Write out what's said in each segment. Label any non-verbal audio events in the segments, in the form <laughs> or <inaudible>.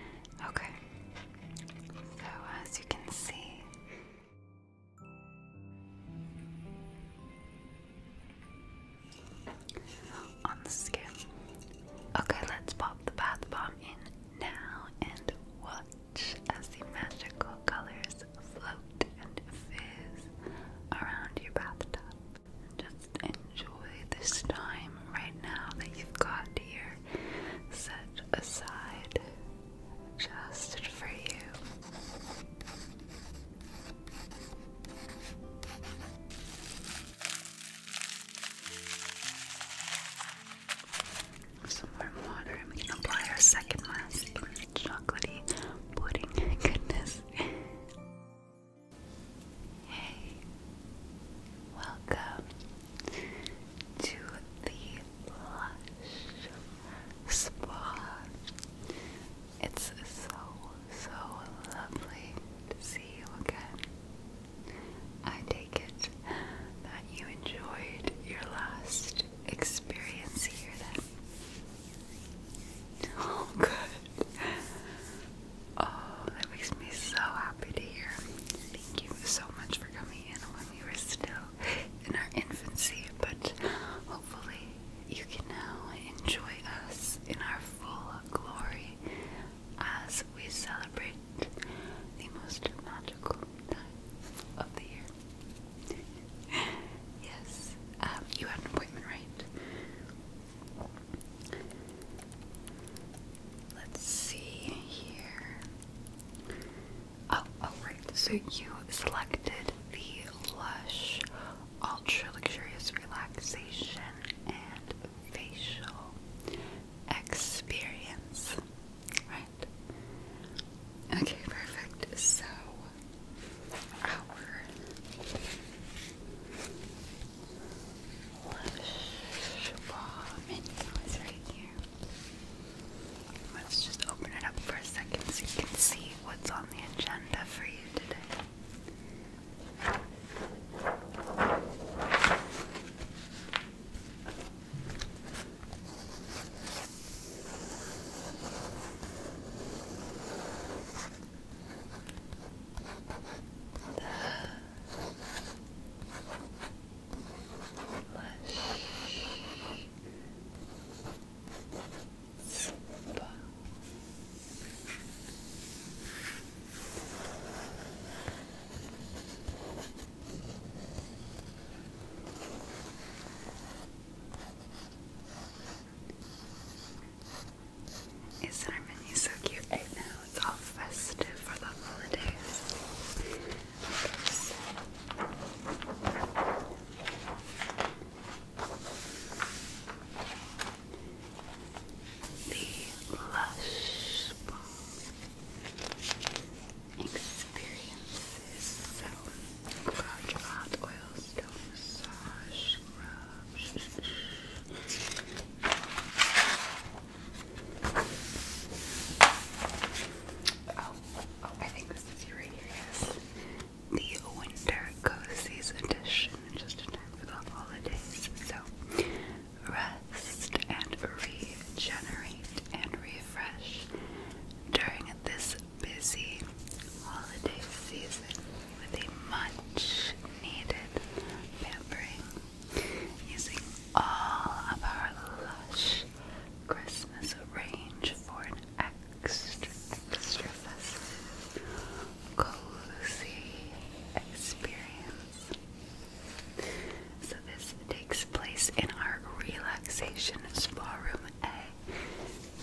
Okay, so as you can see, on the skin. Okay, let's pop the bath bomb in now and watch as the magical colors float and fizz around your bathtub. Just enjoy this time right now that you've got here set aside just for you. Some warm water, and we can apply our second mask. Chocolatey pudding, <laughs> goodness. Hey, welcome to the Lush Spa. It's so, so lovely to see you again. I take it that you enjoyed your last experience here then. <laughs> Oh, good. Oh, that makes me so happy to hear thank you so much for coming in when we were still in our infancy, but hopefully you can now enjoy us in our full glory as we celebrate the most magical time of the year. yes, um, you had an appointment, right? Let's see here. Oh, oh, So you selected the Lush Ultra Luxurious Relaxation and Facial Experience. Right? Okay, perfect. So, our Let's just open it up for a second so you can see what's on the agenda for you today. Is that Is menu? so cute right now? it's all festive for the holidays. The Lush Balm Experiences So, Hot Oil Stone Massage Oh, oh, I think this is right here, yes. The Winter Cozies Edition, just in time for the holidays. So, rest and regenerate and refresh during this busy holiday season with a much needed pampering using all of our lush Christmas range for an extra, cozy experience. So this takes place in our relaxation spa room A,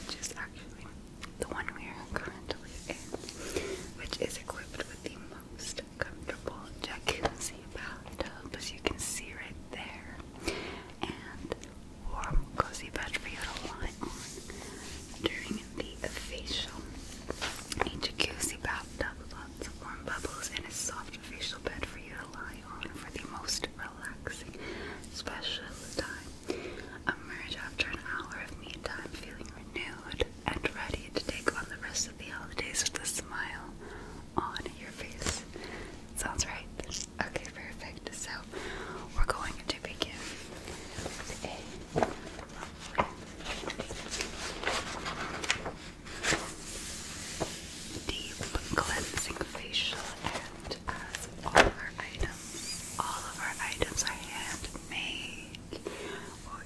which is actually the one we are currently in, which is equipped with the most comfortable jacuzzi bathtub, as you can see right there, and warm, cozy bed for you to lie on during the facial. A jacuzzi bathtub with lots of warm bubbles and a soft facial bed for you to lie on for the most relaxing, special time. Emerge after an hour of me time feeling renewed and ready to take on the rest of the holidays with a smile on your face. Sounds right. Okay, perfect. So we're going to begin a deep cleansing facial and as all of our items, all of our items are handmade. we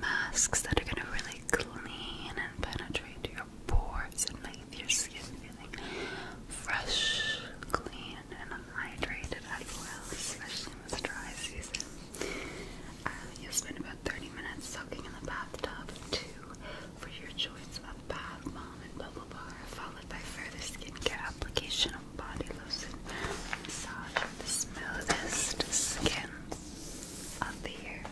masks that are gonna really clean and penetrate your pores and make your skin feel fresh, clean, and hydrated as well, especially in this dry season. Uh, you'll spend about 30 minutes soaking in the bathtub too for your choice of bath bomb and bubble bar, followed by further skincare application of body lotion, massage the smoothest skin of the year.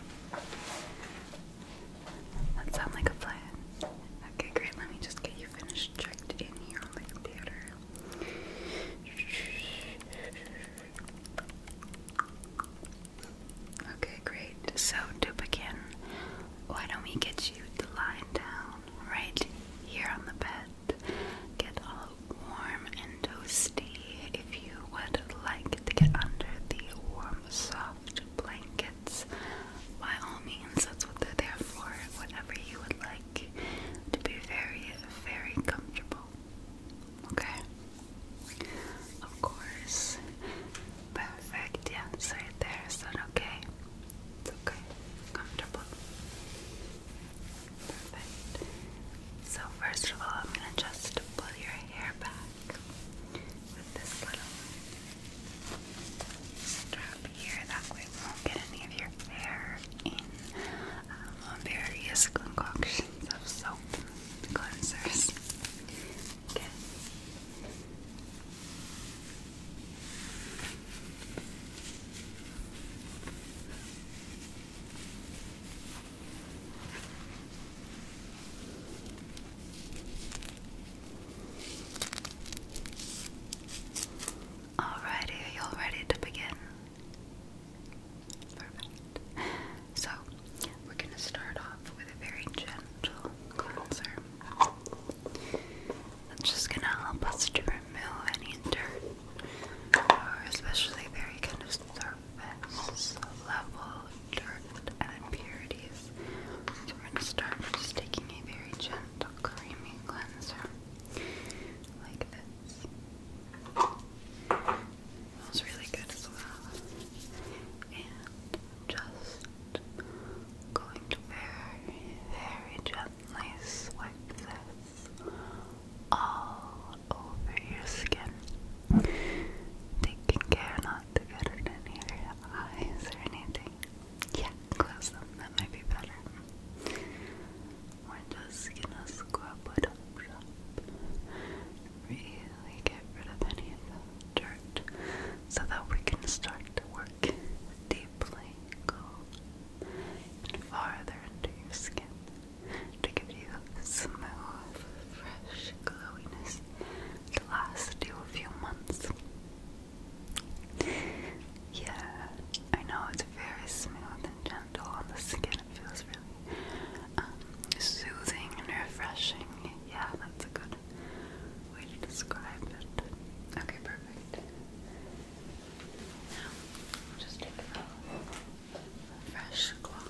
That sound like a plan. Okay, great. Let me just get you finished checked in here on the computer. Okay, great. So to begin, why don't we get you to lie down right here on the bed? Get all warm and toasty if you would like to get under the warm, soft blankets, by all means, that's what they're there for. Whatever you would like to be very, very comfortable. Okay? Of course. Perfect. Yeah, right there. Is that okay? It's okay. Comfortable. Perfect. So, first of all, I'm going to just pull your hair back with this little strap here. That way, we won't get any of your hair in um, various concoctions of soap cleansers. Okay. Alrighty, are you all ready to begin? Perfect. So, we're going to start off with a very gentle cleanser. That's just going to help us to remove any dirt, or especially very kind of surface level dirt and impurities. we're going to start just taking a very gentle creamy cleanser like this. Smells really good as well. And just going to very, very gently swipe this all over your skin. Taking care not to get it your eyes or anything. Yeah, close them. That might be better. We're just gonna scrub it up, up. Really get rid of any dirt so that we can start to work deeply, and farther into your skin to give you smooth, fresh glowiness to last you a few months. Yeah, I know it's very smooth and gentle on the skin. It feels really um, soothing and refreshing. Yeah, that's a good way to describe it. Okay, perfect. Now, just take a fresh cloth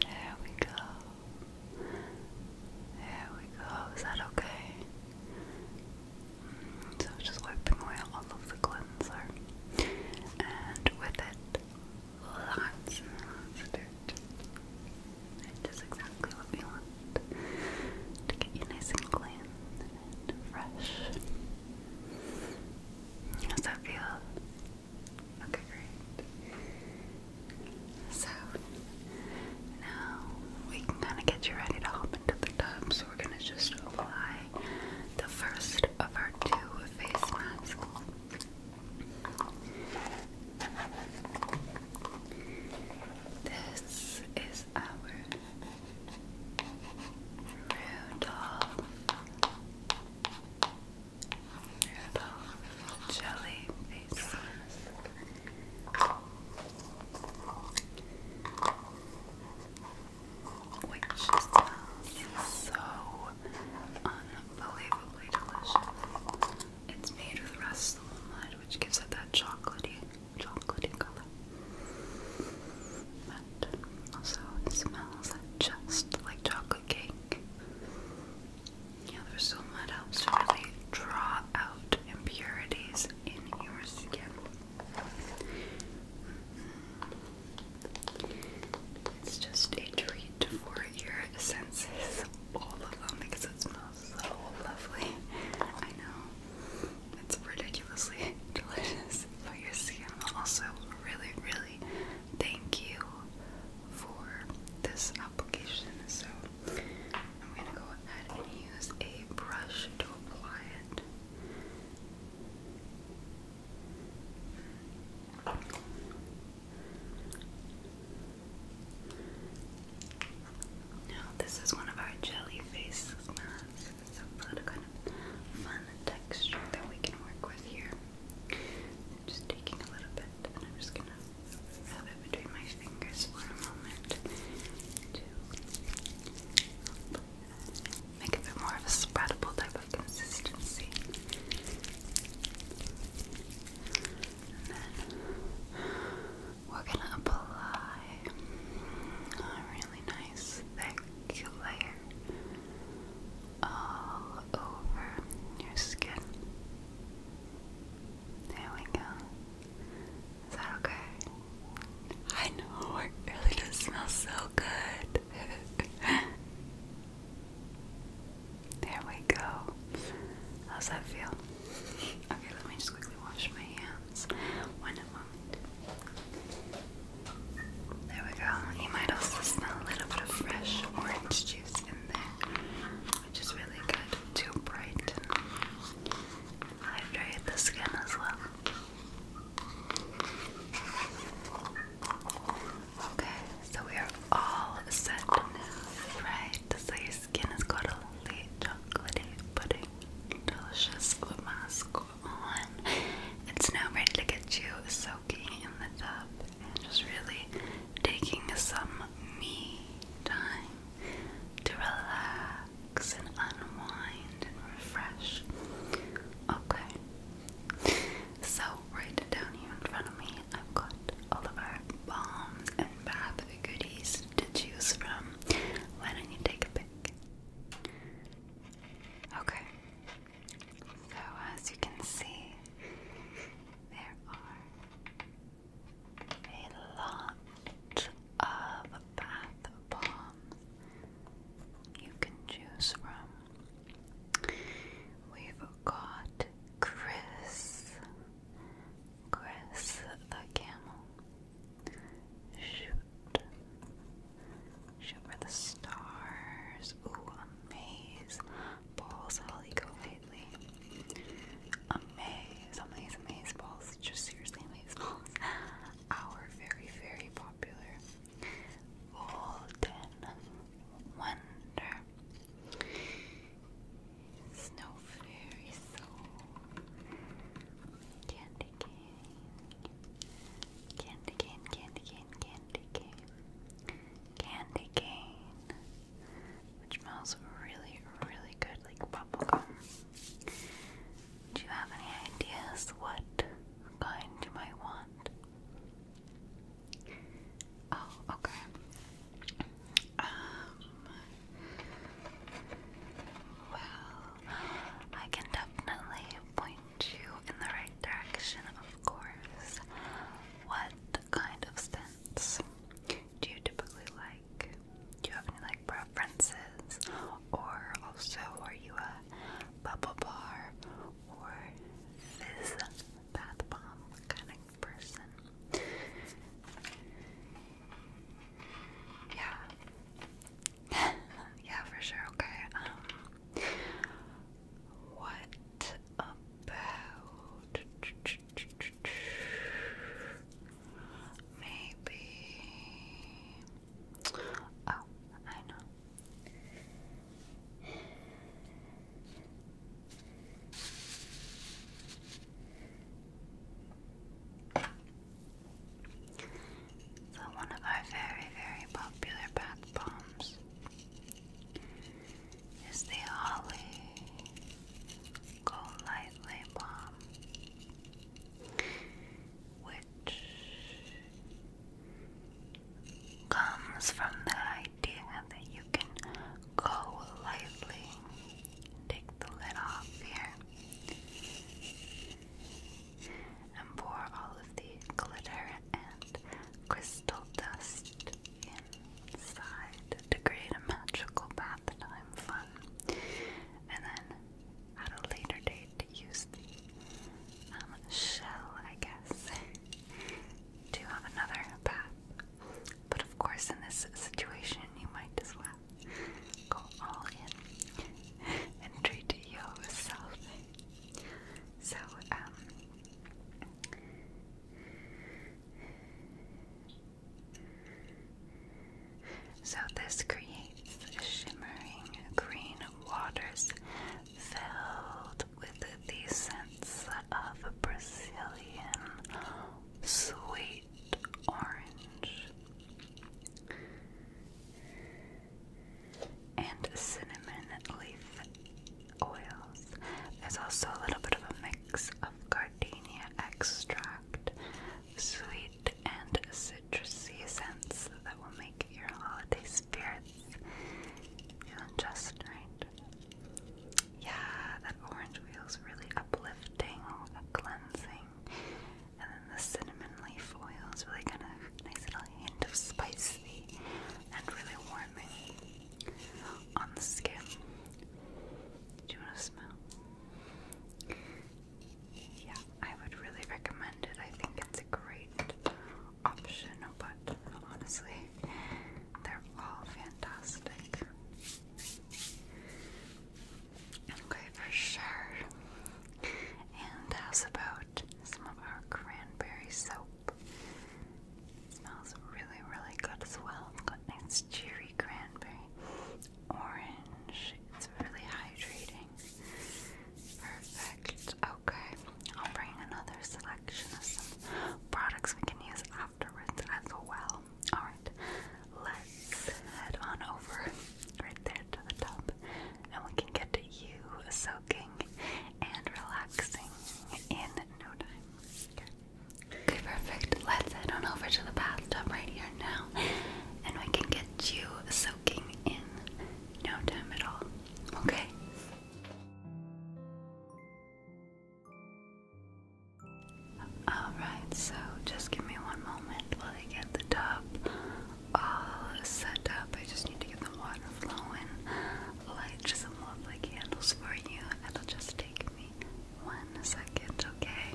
There we go. There we go. Is that okay? Mm, so just wiping away all of the cleanser, and with it, lots and lots of dirt. It does exactly what we want to get you nice and clean and fresh. How's that feel? Okay, great. So now we can kind of get you ready to hop into the tub. So we're gonna just apply the first of our two face masks. This is our Rudolph, jelly faces. Which smells so unbelievably delicious. It's made with raspberry which gives it that chocolatey chocolatey color. But also smells just like chocolate cake. Yeah, there's helps to really draw out impurities in your skin. It's just a treat for your senses, all of them, because it smells so lovely. I know. It's ridiculously <laughs> delicious for your skin. Also, really, really thank you for this application. So, I'm gonna go ahead and use a brush to apply it. Now, this is one of our jelly face is nice. kind of fun texture that we can work with here. just taking a little bit, and I'm just gonna rub it between my fingers for a moment to make it more of a spreadable type of consistency we're gonna apply a really nice thick layer all over your skin. There we go. Is that okay? I know, it really does smell so good. <laughs> there we go. How's that feel? Okay, let me just quickly wash my hands. One of there we go. You might also smell a little bit of fresh orange juice in there, which is really good to brighten and hydrate the skin as well. Okay, so we are all set now, right? So your skin is got a lovely chocolatey pudding delicious mask on. It's now ready to get you soaking in the tub and just really taking some me time to relax and unwind and refresh. Okay. So right down here in front of me I've got all of our bombs and bath goodies to choose from. Why don't you take a pic? Okay, so as you can see, there are a lot of bath bombs you can choose from. We've got Chris, Chris the camel. Shoot. Shoot for the stars. Ooh, balls. maze. Balls, you go lately. Amaze, maze, a amaze balls. Just seriously, amaze balls. <laughs> Our very, very popular golden wonder. Snow fairy soul. Candy cane. Candy cane, candy cane, candy cane. Candy cane. Which smells really, really good, like bubblegum. Do you have any ideas what kind you might want? Oh, okay. Um, well, I can definitely point you in the right direction, of course. What kind of scents do you typically like? Do you have any like preferences? Or also, are you a bubble bar or fizz bath bomb kind of person? Yeah. <laughs> yeah, for sure. Okay. Um, what about maybe? Oh, I know. So one of our very, very popular bath bombs is the Ollie Go Lightly Bomb, which comes from the idea that you can go lightly, take the lid off here, and pour all of the glitter and crystal dust inside to create a magical bath I'm fun. And then at a later date, use the um, shell, I guess, to have another bath. But of course, in this situation, you might as well Go all in and treat yourself. So, um, so this creates shimmering green waters filled with the scents of Brazilian sweet orange and cinnamon leaf oils. There's also a little bit of a mix of gardenia extract, sweet and citrusy scents that will make your holiday spirits just right. Yeah, that orange is really uplifting, and cleansing, and then the cinnamon leaf oil is really kind of nice little hint of spicy and really warming on the skin. Do you want to smell? Yeah, I would really recommend it. I think it's a great option, but honestly, they're all fantastic. Okay, for sure. And how's about some of our cranberry soap? It smells really, really good as well. It's got nice cherry cranberry, orange. It's really hydrating. Perfect. Okay, I'll bring another selection of some products we can use afterwards as well. Alright, let's head on over right there to the top, and we can get you soaking and relaxing in no time. Okay, perfect. Let's head on over to the bathtub right here now, and we can get you soaking in no time at all. Okay. Alright, so just give me one moment while I get the tub all set up. I just need to get the water flowing. Light some lovely candles for you. It'll just take me one second, Okay,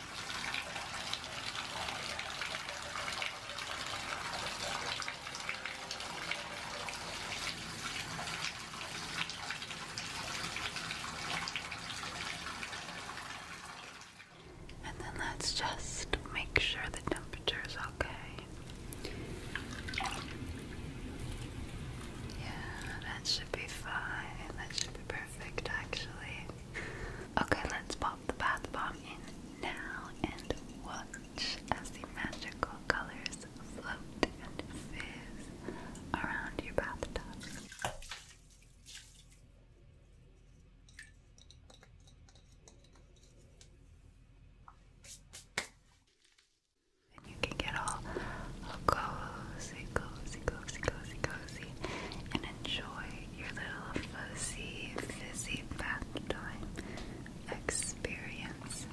And then let's just make sure the temperature is okay. Yeah, that should be fine. That should be perfect, actually. Okay, let's pop the bath bomb in now and watch as the magical colors float and fizz around your bathtub. And you can get all cozy, cozy, cozy, cozy, cozy, and enjoy your little fuzzy, fizzy bath time experience.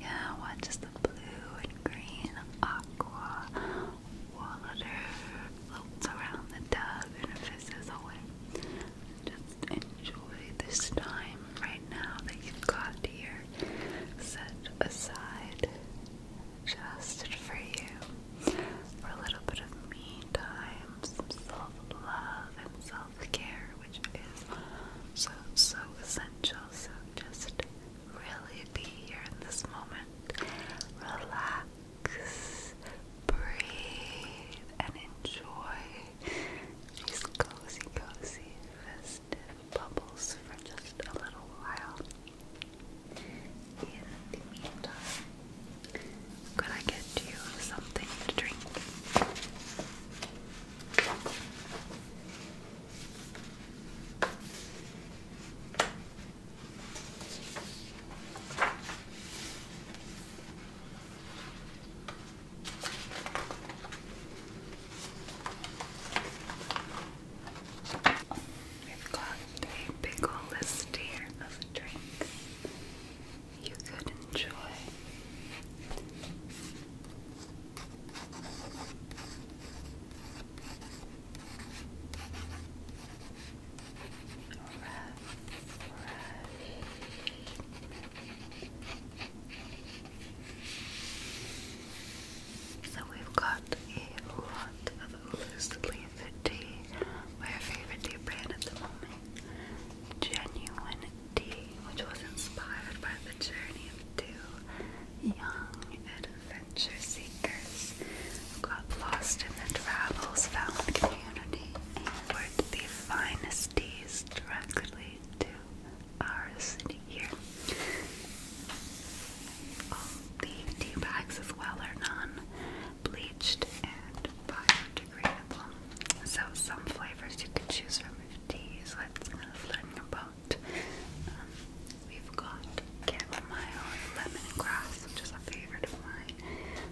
Yeah, watch as the blue and green aqua water floats around the tub and fizzes away. Just enjoy this time right now that you've got here set aside just for you for a little bit of me time, self love and self care, which is so, so essential. So just really be here in this moment. Relax, breathe, and enjoy these cozy, cozy, festive bubbles for just a little while. In the meantime, could I get you something to drink? We've got a big old list here of drinks you could enjoy. Fresh, fresh. So we've got a lot of loose favorite tea, my favorite tea brand at the moment, Genuine Tea, which was inspired by the journey of two young adventure seekers who got lost in their travels, found community, and brought the finest teas directly to our city here. the tea bags as well are non bleached, and biodegradable. So some flavors you can choose from if these let's learn about. Um, we've got chamomile and grass, which is a favorite of mine.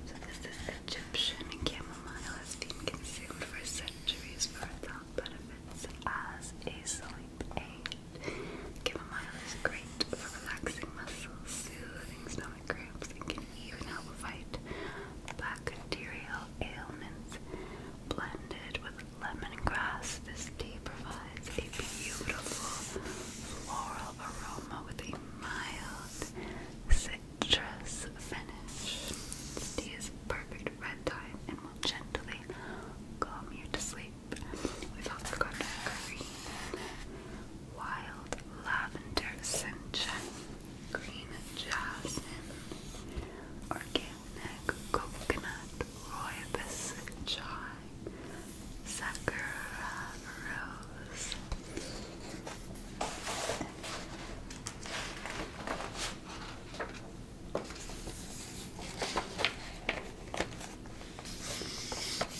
So this is Egyptian chamomile has been consumed for centuries for its health benefits as a sleep aid. Chamomile is great for relaxing muscles, soothing stomach cramps can even help fight bacterial ailments. Blended with lemongrass, this tea provides a beautiful floral aroma with a mild citrus finish. This tea is perfect bedtime and will gently calm you to sleep. We've also got green wild lavender sunshine, green jasmine, organic coconut, rooibos chai, sakura rose.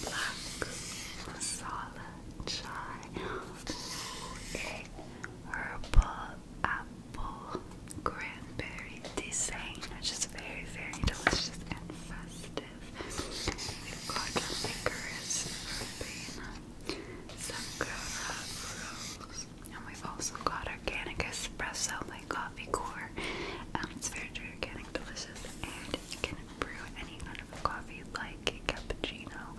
Black masala child. A herbal apple cranberry design, which is very, very delicious and festive. We've got licorice verbena, sakura rose, and we've also got organic espresso, my coffee core. Um, it's very, very organic, delicious, and you can brew any kind of coffee you'd like cappuccino,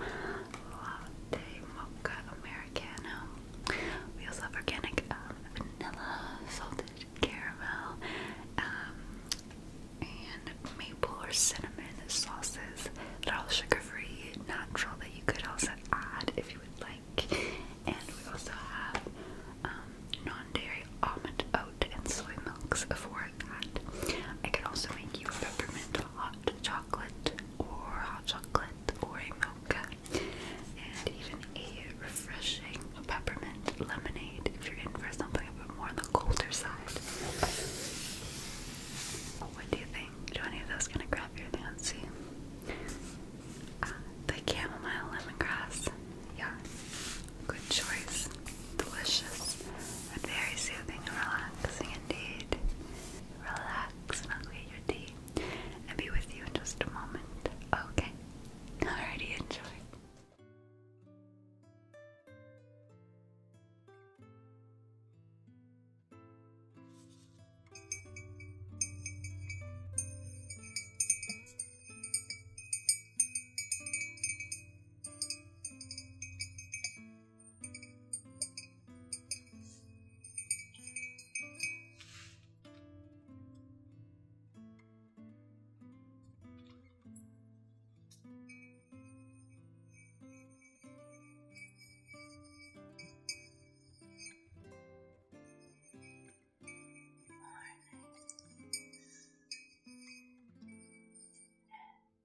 latte, mocha, americano. We also have organic um, vanilla, salted caramel, um, and maple or cinnamon sauces. They're all sugar-free, natural that you could also add if you would like. And we also have um, non-dairy almond oat and soy milks for that. I can also make you a peppermint hot chocolate or hot chocolate or a mocha and even a refreshing peppermint lemonade if you're in for something a bit more on the colder side. What do you think? Do any of those kind of grab your fancy? Uh, the chamomile lemongrass, yeah. Good choice. Delicious very soothing and relaxing indeed. Relax and I'll your tea and be with you in just a moment. Okay? Alrighty, enjoy. Morning.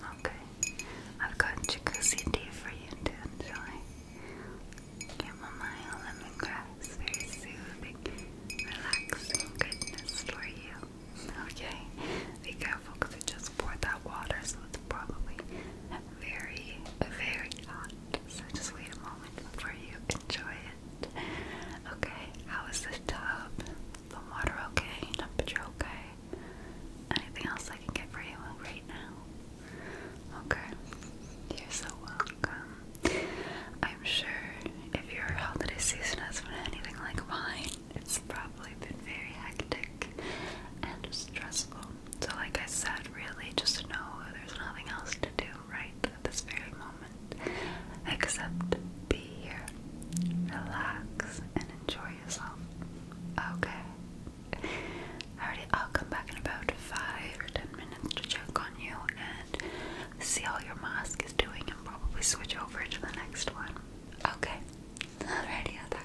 Okay, I've got jacuzzi for you to enjoy. Chamomile lemongrass, very soothing, relaxing goodness for you. Okay, be careful because it just poured that water, so it's probably very, very hot. So just wait a moment before you enjoy it. Okay, how is the tub? The water okay? Temperature okay? Anything else I can get for you right now? Okay, you're so welcome. I'm sure if your holiday season has anything like mine, it's probably been very hectic and stressful. So, like I said, really just know there's nothing else to do right at this very moment except be here, relax, and enjoy yourself. Okay. Alrighty, I'll come back in about five or ten minutes to check on you and see how your mask is doing and probably switch over to the next one. Okay. Alrighty, I'll talk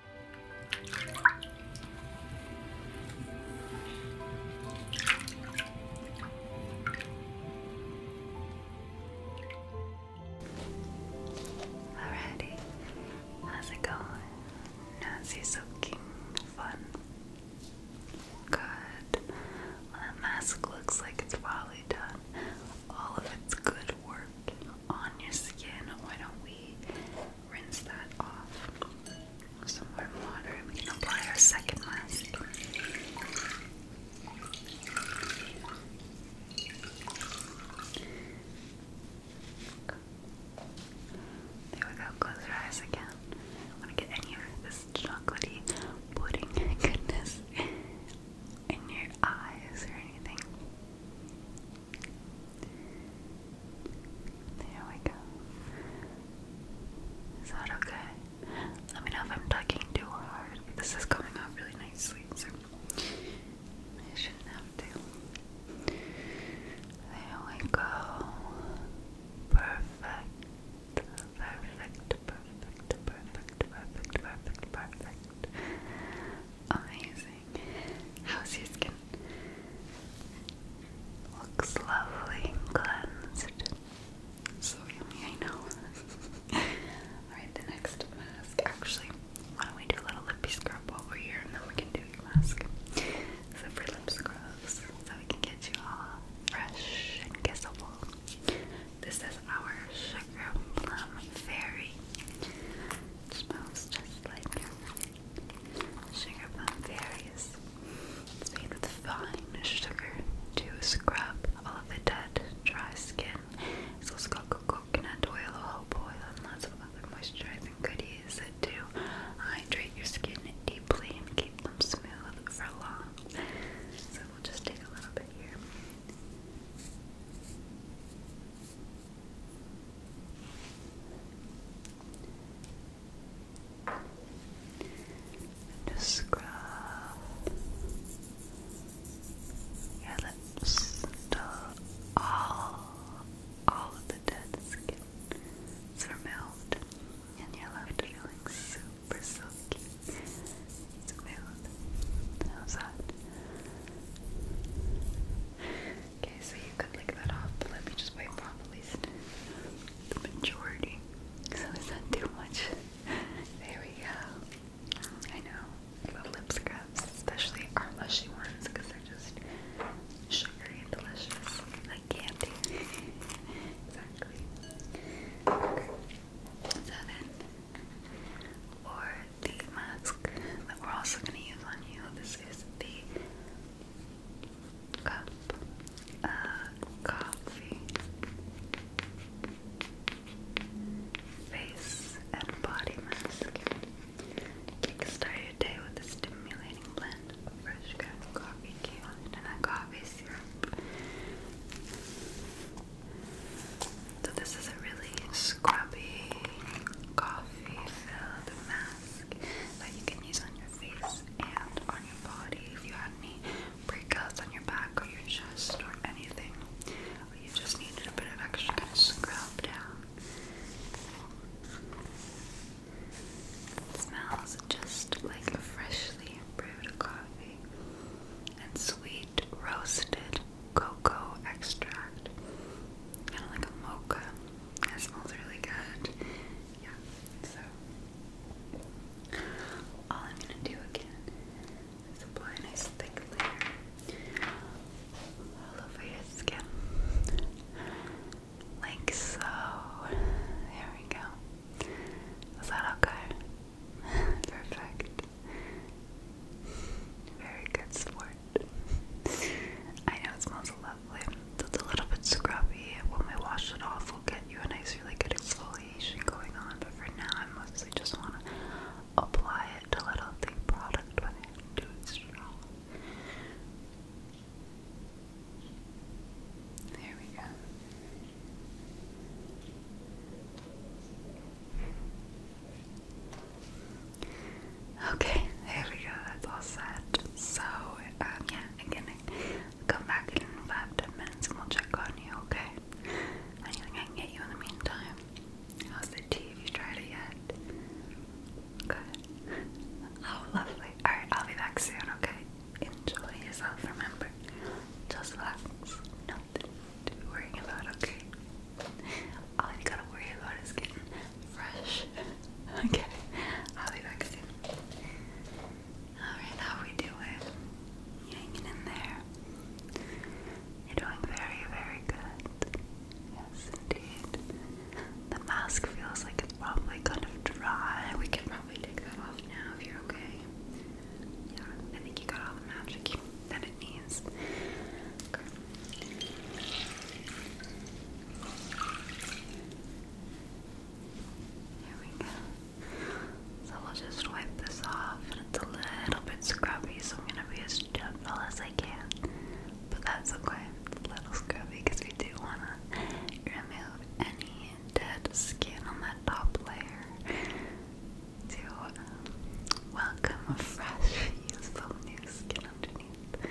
Alrighty, how's it going? Nancy's looking fun. Good. Well, mask looks like it's probably done all of its good work on your skin. Why don't we rinse that off. Some warm water, and we can apply our second mask. There we go, close your eyes again. I want to get any of this chocolatey pudding <laughs> goodness in your eyes or anything. There we go. Is that okay? Let me know if I'm tugging too hard. This is coming out really nicely, so I shouldn't have to. There we go. Perfect. Perfect. Perfect. Perfect. Perfect. Perfect. Perfect. Amazing. How's your skin? Looks lovely and cleansed. So yummy, know. <laughs> Alright, the next mask. Actually, why don't we do a little lippy scrub while here and then we can do your mask. So for lip scrubs, so we can get you all fresh and kissable. This is our Sugar Plum Fairy. It smells just like Sugar plum berries. It's made with fine sugar to scrub all of the dead, dry skin. It's also got coconut oil, olive oil, and lots of other moisturizing goodies to hydrate your skin deeply and keep them smooth for long. So we'll just take a little bit here. Just scrub your lips to all, all of the dead skin is removed, and you're left feeling super silky, smooth. How's that? Okay, so you could lick that off, but let me just wipe off at least the majority. So it's not too much? There we go. I know. The lip scrubs, especially our lushy ones, they're just sugary and delicious. Like candy. exactly. Okay. So then, the mask that we're also going to use on you. This is the cup uh, coffee face and body mask. Kickstart your day with a stimulating blend fresh ground coffee cubes and a coffee syrup. So this is a really scrubby coffee fluffy filled mask that you can use on your face and on your body if you had any breakouts on your back or your chest or anything. you just needed a bit of extra scrub down. smells just like freshly brewed coffee and sweet roasted cocoa extract. Kind of like a mocha. It smells really good. Yeah, so all I'm gonna do again is apply a nice thick layer all over your skin. Like so. There we go. Is that okay? <laughs> Perfect. Very good sport. <laughs> I know it smells lovely. It's a little bit scrubby. When we wash it off, we'll get you a nice, really good exfoliation going on. But for now, I mostly just want to apply it to let out the product when it do its job. There we go. Okay, there we go, that's all set. So, um, yeah, again, come back in 5 10 minutes and we'll check on you, okay? Anything I can get you in the meantime? How's the tea? you tried it yet? Good. Oh, lovely. Alright, I'll be back soon, okay? Enjoy yourself, remember. Just relax. Nothing to worry about, okay? All you gotta worry about is getting fresh. <laughs> okay, I'll be back soon. Alright, how we doing? Hanging in there. You're doing very, very good. Yes, indeed. The mask feels like it's probably kind of dry. We can probably take that off now if you're okay. Yeah, I think you got all the magic that it needs. Okay. There we go. So we'll just wipe this off, and it's a little bit scrubby, so I'm gonna be as gentle as I can. But that's okay, it's a little scrubby because we do wanna remove any dead skin on that top layer to welcome a fresh, useful new skin underneath.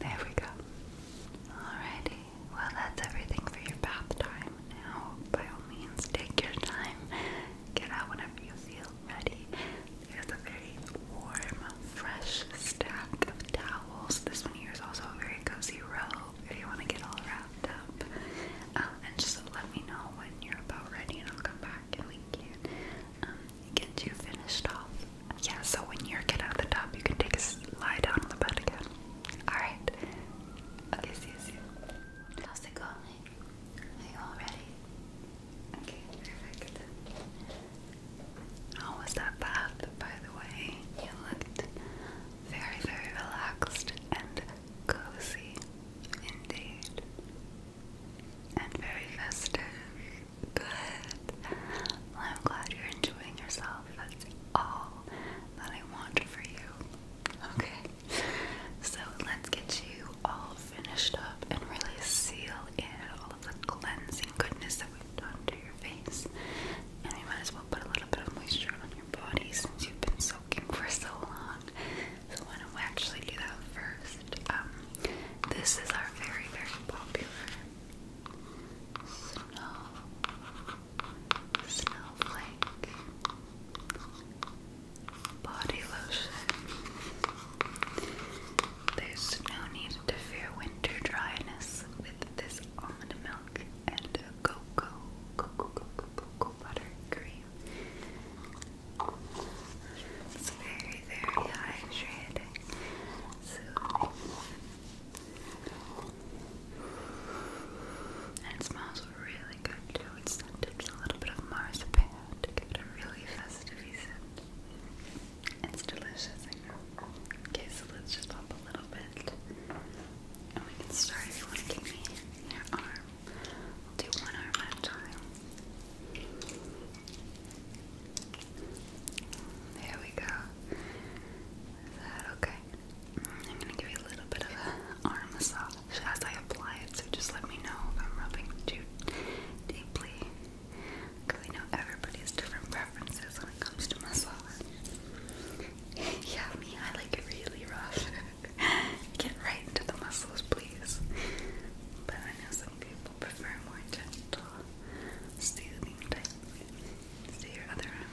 There we go. Alrighty. Well, that's everything for your bath time. Now, by all means, take your time. Get out whenever you feel ready. There's a very warm, fresh stack of towels. This one here is also a very cozy robe if you want to get all wrapped up. Um, and just let me know when you're about ready, and I'll come back and we can um, get you finished off. Yeah, so when you get out of the tub, you can take a lie down on the bed again. Alright. Okay, see you soon. How's it going? Are you all ready? Okay, perfect. How was that bath, by the way? You looked very, very relaxed and cozy indeed. And very festive. Good. I'm glad you're enjoying yourself. That's all that I want for you. Okay. So let's get you all finished up and really seal in all of the cleansing goodness that we've done to your face. And we might as well put a little bit of moisture on your body since you've been soaking for so long. So why don't we actually do that first? Um, this is our very, very popular snow, snowflake, body lotion. There's no need to fear winter dryness with this almond milk and cocoa, cocoa, cocoa, cocoa butter cream. It's very, very hydrating soothing. And it smells really good too. It's scented with a little bit of marzipan to give it a really festive scent. It's delicious, Okay, so let's just pop a little bit. And we can start if you want give me your arm. We'll do one arm at a time. There we go. Is that okay? I'm gonna give you a little bit of an arm massage as I apply it, so just let me know if I'm rubbing too deeply. Because I know everybody different preferences when it comes to massage. <laughs> yeah, me, I like it really rough. <laughs> Get right into the muscles, please. But I know some people prefer more gentle, soothing type. let your other arm.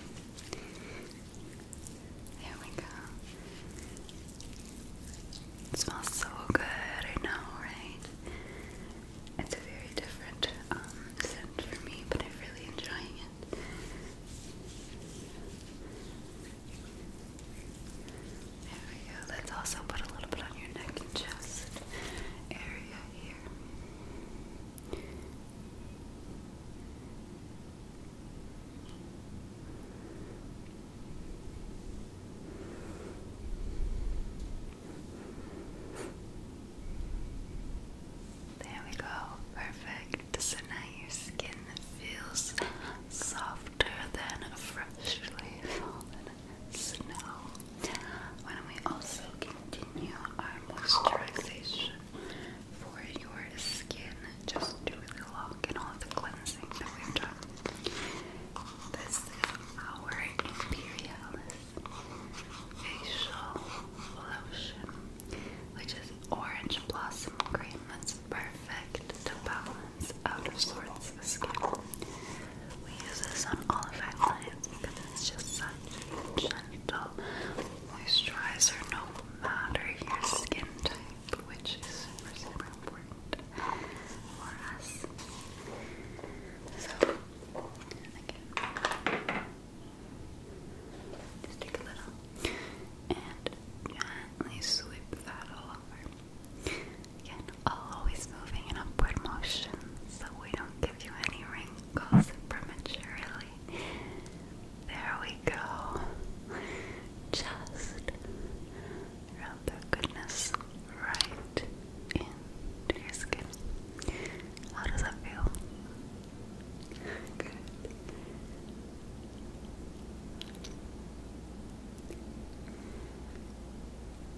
There we go. It smells so good, I know, right? It's a very different um, scent for me, but I'm really enjoying it. There we go. Let's also put a little bit on your neck and chest area there we go, perfect. So now your skin feels softer than freshly fallen snow. Why don't we also continue our moisturization for your skin just to lock in all the cleansing that we've done? This is our Imperialis facial lotion, which is orange blossom cream. That's perfect to balance out of sorts skin. We use this on all of our clients because it's just such a gentle moisturizer no matter your skin type, which is super, super important for us. So, again, just take a little and gently sweep that all over. Again, always moving in upward motion, so we don't give you any wrinkles prematurely. There we go. Just rub that goodness right into your skin. How does that feel? Good.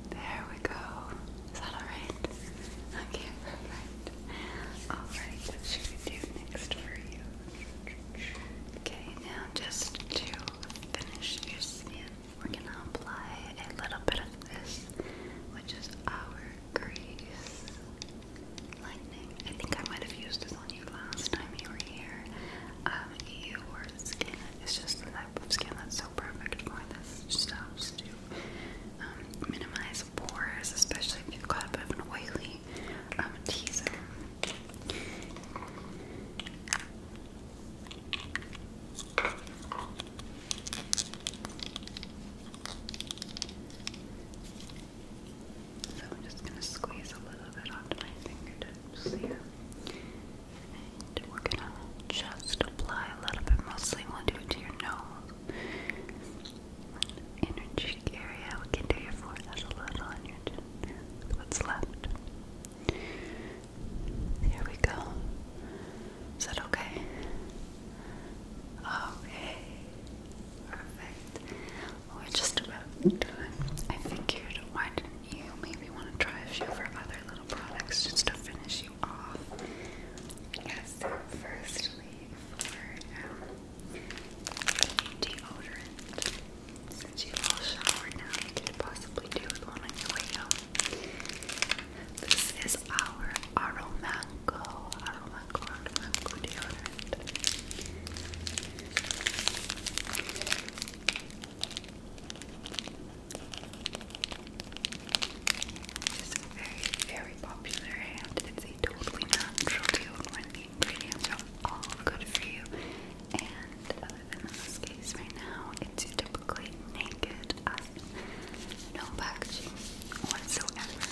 There we go. Is that alright? Okay, perfect. Alright, should we do next for you? Okay, now just to finish your skin, we're gonna apply a little bit of this, which is our grease I think I might have used this on you last time you were here. Um, your skin is just the type of skin that's so perfect for this stuff, too. Um, minimize pores, especially if you've got a bit of an oily um, T So I'm just going to squeeze a little bit onto my fingertips here we're gonna just apply a little bit, mostly we'll do it to your nose. Inner area, we can do your forehead a little on your chin. What's left? Here we go. Is that okay? Okay. Perfect. We're just about done. I figured why didn't you maybe want to try a few of our other little products just to finish so, firstly, for um, deodorant, since you've showered now, you could possibly do with one on your way out. This is our Aromango, Aromango, deodorant. This is very, very popular and it's a totally natural deal the ingredients are all good for you. And other than this case right now, it's typically naked no packaging whatsoever.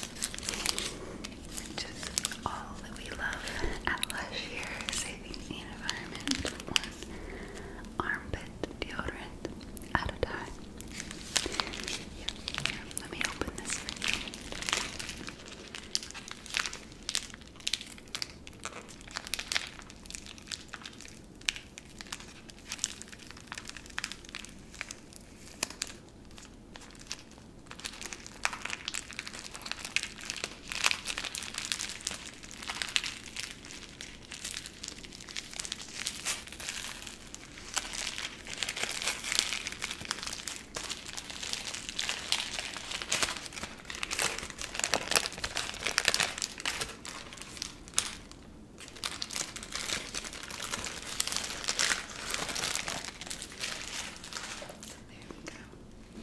Which is all that we love at Lush here, saving the environment one armpit deodorant at a time. Here, here, let me open this for you. Okay. There we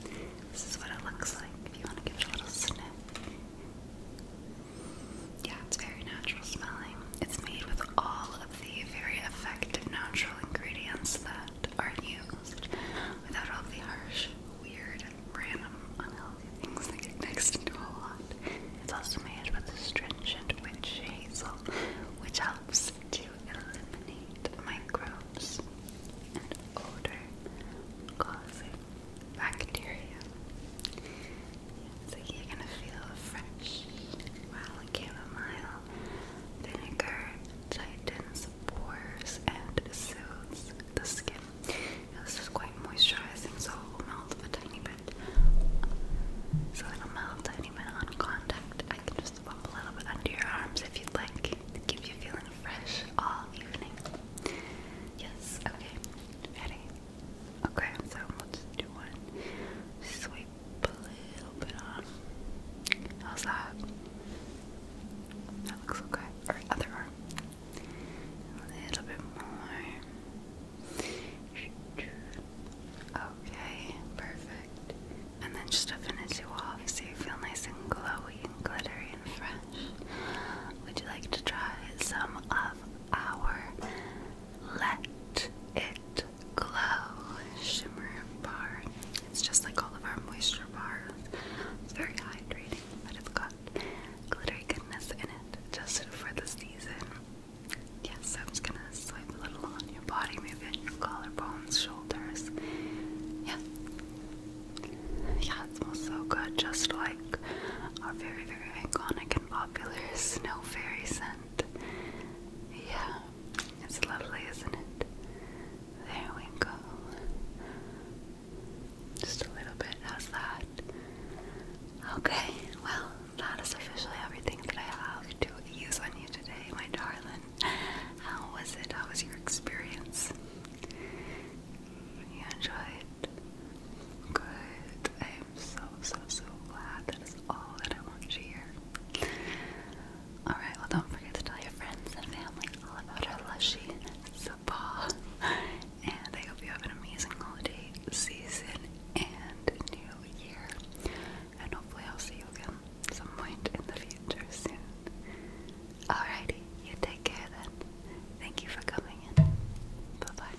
go. This is what it looks like if you want to give it a little sniff. Yeah, it's very natural smelling. It's made with all of the very effective natural ingredients that are used without all the harsh, weird, random, unhealthy things that get mixed into a lot. It's also made with astringent witch hazel, which helps to eliminate microbes and odor causing bacteria. So you're gonna feel fresh. While chamomile vinegar tightens pores and soothes the skin. this is quite moisturizing, so melt a tiny bit. So it'll melt a tiny bit on contact. I can just pop a little bit under your arms if you'd like keep you feeling fresh all evening. Yes, okay, ready? Okay, so we'll do one. Sweep a little bit on. How's that? That looks okay. Or other arm. A little bit more. Okay, perfect. And then just to finish you off so you feel nice and glowy and glittery and fresh. Would you like to try some of our let It Glow Shimmer Bar. It's just like all of our moisture bars. It's very hydrating, but it's got glittery goodness in it just for the season. Yes, I'm just gonna swipe a little on your body, maybe on your collarbones, shoulders. Yeah. Yeah, it smells so good, just like York very, very iconic and popular. Snow fairy scent. Yeah, it's lovely, isn't it? There we go. Just a little bit. How's that? Okay, well, that is officially everything that I have to use on you today, my darling. How was it? How was your experience? You enjoy Good. I am so, so, so glad that is all that I want to hear. Alright, well, don't forget to tell your friends and family all about our lushy spa. And I hope you have an amazing holiday season and new year. And hopefully, I'll see you again some point in the future soon. Alrighty, you take care then. Thank you for coming in. Bye bye.